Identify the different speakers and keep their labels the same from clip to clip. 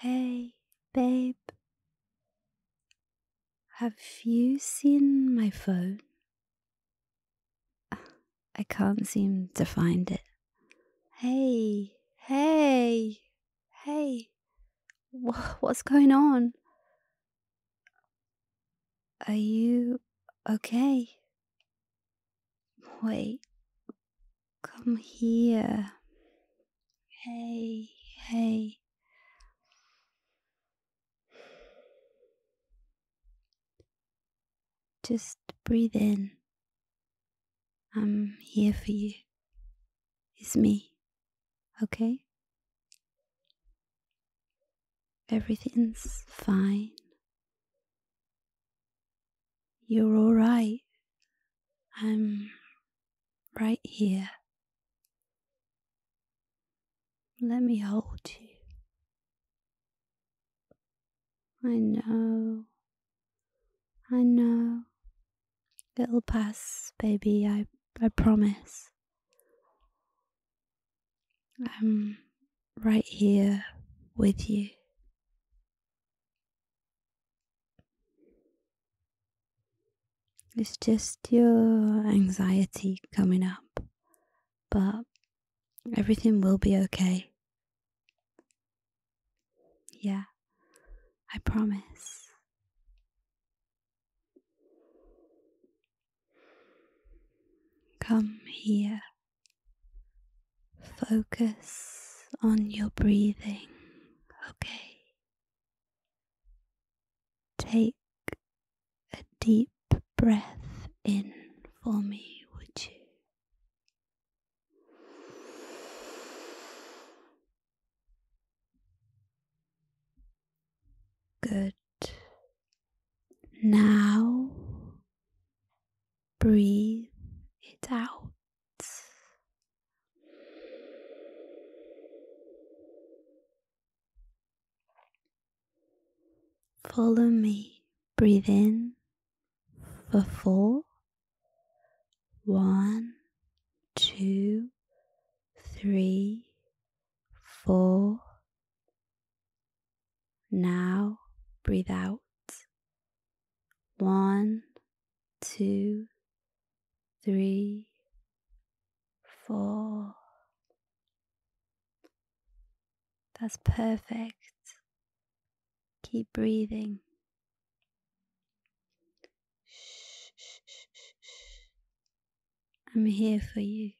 Speaker 1: Hey, babe. Have you seen my phone? I can't seem to find it. Hey, hey, hey. What's going on? Are you okay? Wait, come here. Hey, hey. Just breathe in. I'm here for you. It's me, okay? Everything's fine. You're all right. I'm right here. Let me hold you. I know. I know. It'll pass, baby. I, I promise. I'm right here with you. It's just your anxiety coming up, but everything will be okay. Yeah, I promise. Come here. Focus on your breathing, okay? Take a deep breath in for me, would you? Good. Now breathe it out. Follow me. Breathe in for four. One, two, three, four. Now breathe out one, two, three, four. That's perfect. Keep breathing. I'm here for you.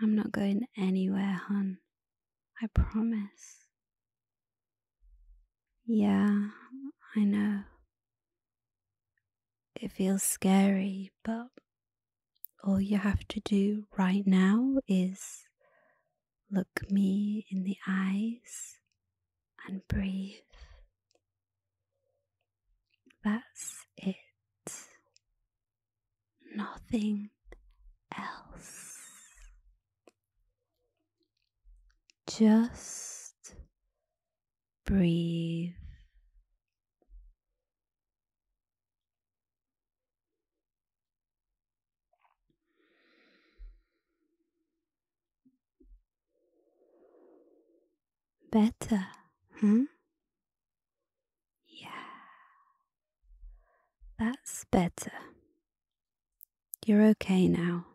Speaker 1: I'm not going anywhere, hun. I promise. Yeah, I know. It feels scary, but all you have to do right now is look me in the eyes and breathe. That's it nothing else. Just breathe. Better, hmm? Yeah. That's better. You're okay now.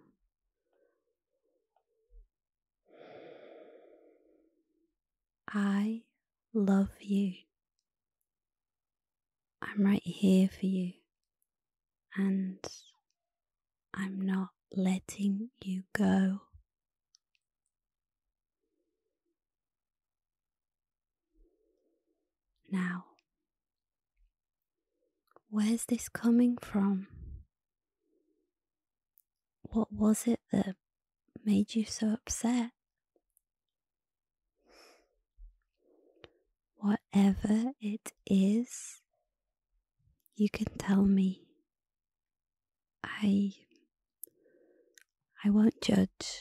Speaker 1: I love you. I'm right here for you, and I'm not letting you go. Now, where's this coming from? What was it that made you so upset? Whatever it is, you can tell me. I I won't judge.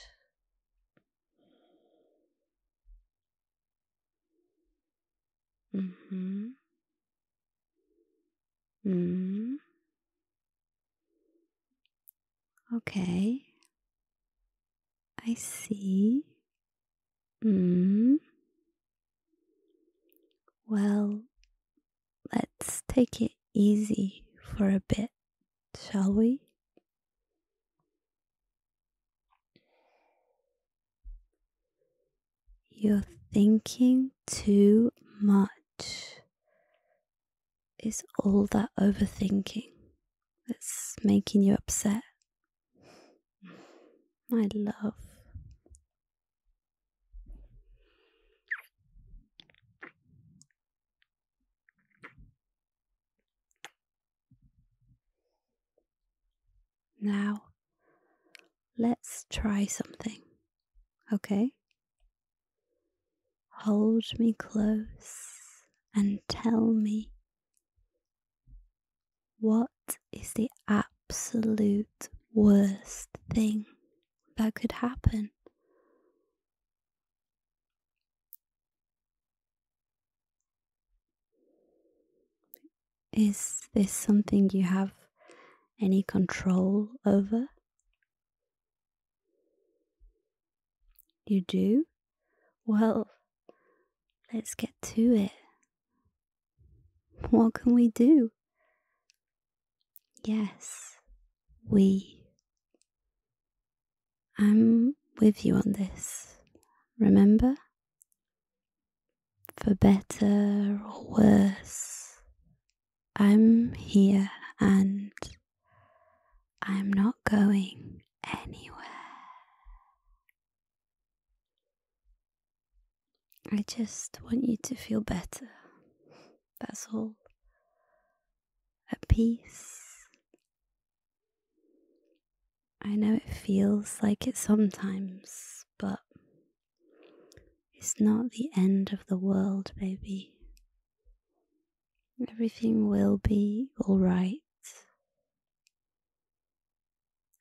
Speaker 1: Mm-hmm. Mm. Okay. I see. Mm. Well, let's take it easy for a bit, shall we? You're thinking too much. Is all that overthinking that's making you upset? My love. Now, let's try something, okay? Hold me close and tell me what is the absolute worst thing that could happen? Is this something you have any control over? You do? Well, let's get to it. What can we do? Yes, we I'm with you on this, remember? For better or worse, I'm here and I'm not going anywhere. I just want you to feel better. That's all. At peace I know it feels like it sometimes, but it's not the end of the world, baby. Everything will be alright.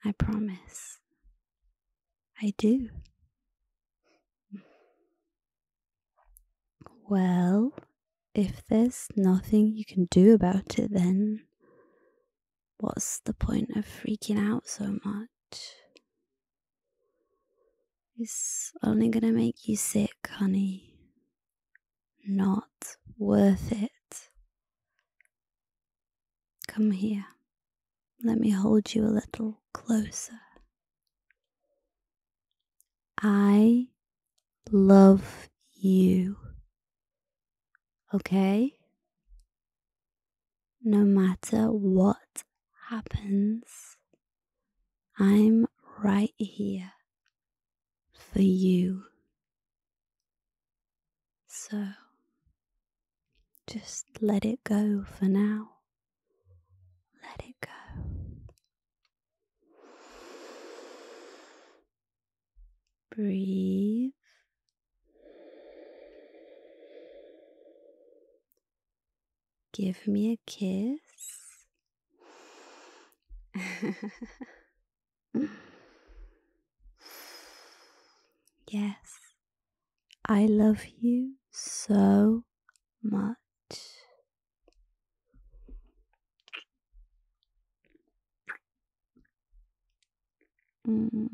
Speaker 1: I promise. I do. Well, if there's nothing you can do about it, then what's the point of freaking out so much? It's only gonna make you sick, honey. Not worth it. Come here. Let me hold you a little closer. I love you. Okay? No matter what happens, I'm right here for you. So just let it go for now. Let it go. Breathe. Give me a kiss. yes, I love you so much. Mm.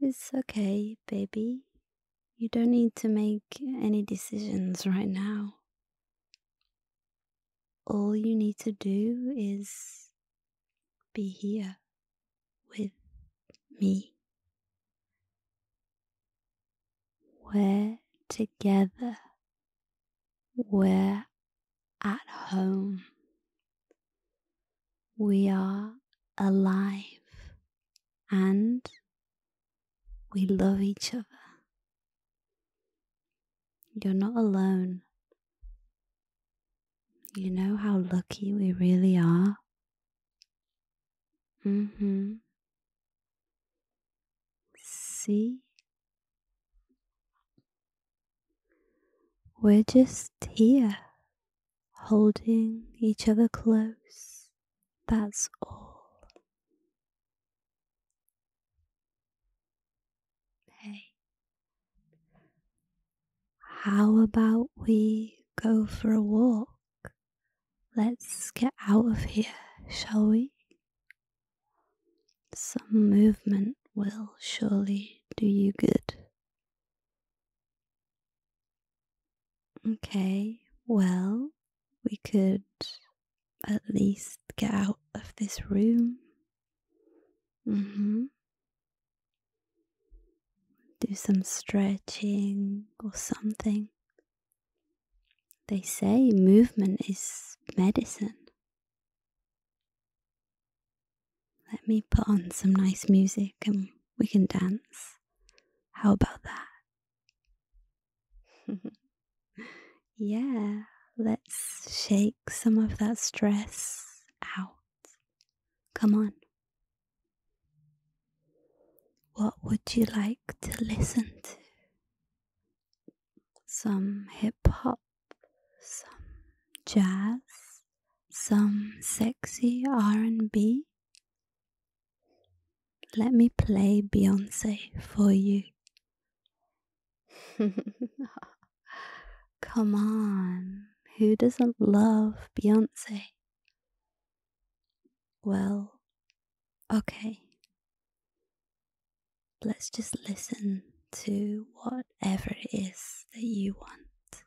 Speaker 1: It's okay, baby. You don't need to make any decisions right now. All you need to do is be here with me we're together. We're at home. We are alive and we love each other. You're not alone. You know how lucky we really are? hmm. See? We're just here, holding each other close. That's all. Hey, how about we go for a walk? Let's get out of here, shall we? Some movement will surely do you good. Okay, well, we could at least get out of this room. Mm hmm. Do some stretching or something. They say movement is medicine. Let me put on some nice music and we can dance. How about that? yeah, let's shake some of that stress out. Come on, what would you like to listen to? Some hip hop, some jazz, some sexy R&B. Let me play Beyonce for you. Come on, who doesn't love Beyonce? well, okay. Let's just listen to whatever it is that you want,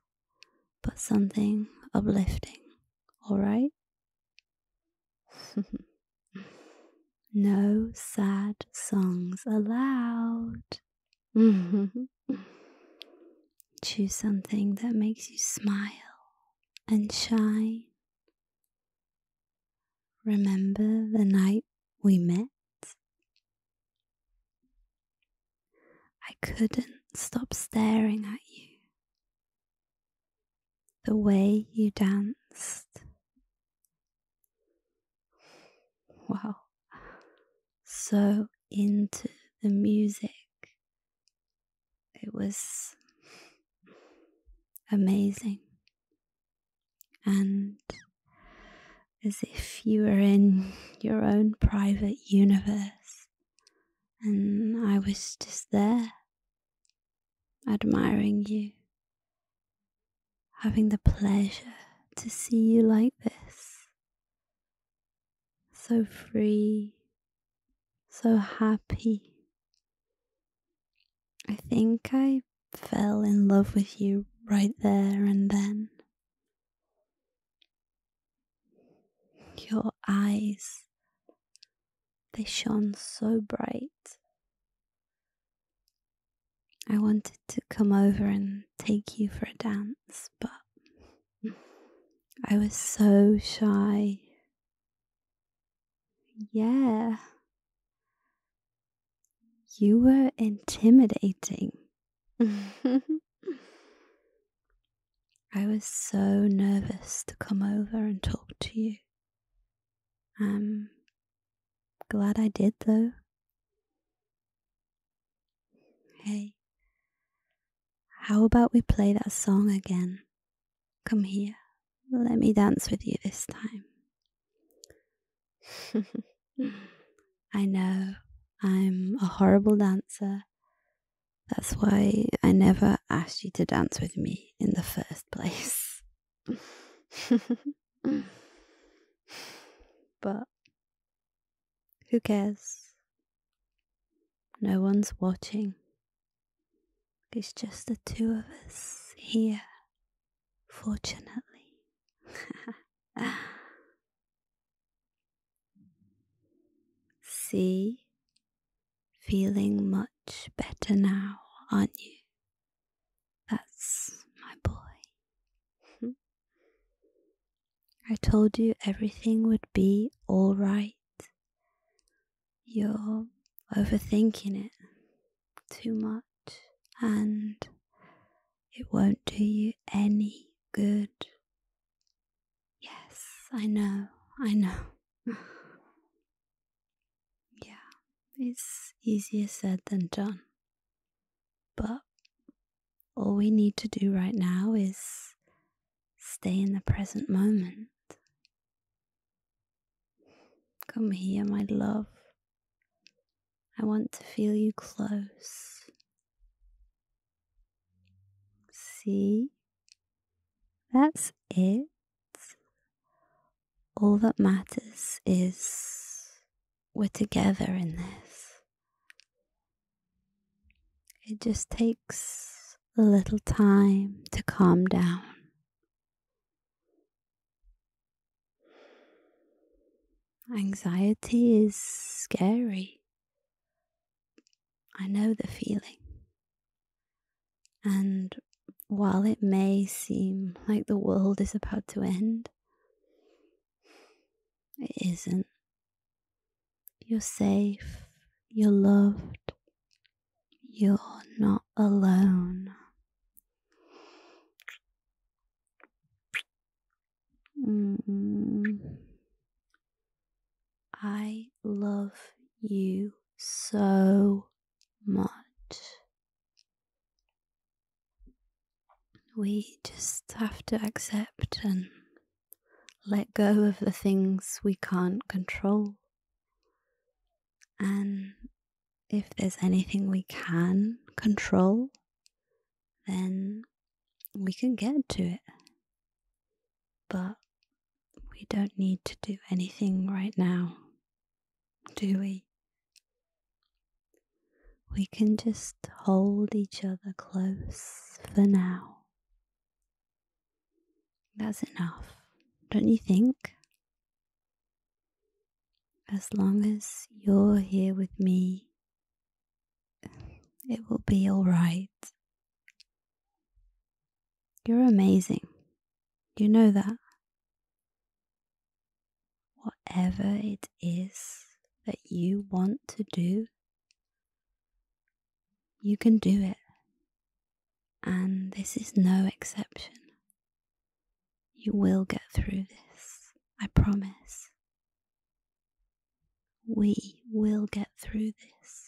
Speaker 1: but something uplifting, alright? no sad songs allowed. Choose something that makes you smile and shine. Remember the night we met? I couldn't stop staring at you. The way you danced. Wow. So into the music it was amazing. And as if you were in your own private universe, and I was just there, admiring you, having the pleasure to see you like this, so free, so happy. I think I fell in love with you right there and then. Your eyes, they shone so bright. I wanted to come over and take you for a dance, but I was so shy yeah. You were intimidating. I was so nervous to come over and talk to you. I'm glad I did though. Hey, how about we play that song again? Come here, let me dance with you this time. I know I'm a horrible dancer. That's why I never asked you to dance with me in the first place. but who cares? No one's watching. It's just the two of us here, fortunately. See? Feeling much better now, aren't you? That's my boy. I told you everything would be alright. You're overthinking it too much, and it won't do you any good. Yes, I know, I know. yeah, it's easier said than done. But all we need to do right now is Stay in the present moment. Come here, my love. I want to feel you close. See? That's it. All that matters is we're together in this. It just takes a little time to calm down. Anxiety is scary. I know the feeling. And while it may seem like the world is about to end, it isn't. You're safe, you're loved, you're not alone. I love you so much. We just have to accept and let go of the things we can't control. And if there's anything we can control, then we can get to it. But we don't need to do anything right now, do we? We can just hold each other close for now that's enough, don't you think? As long as you're here with me, it will be alright. You're amazing. You know that. Whatever it is that you want to do, you can do it. And this is no exception. You will get through this, I promise. We will get through this.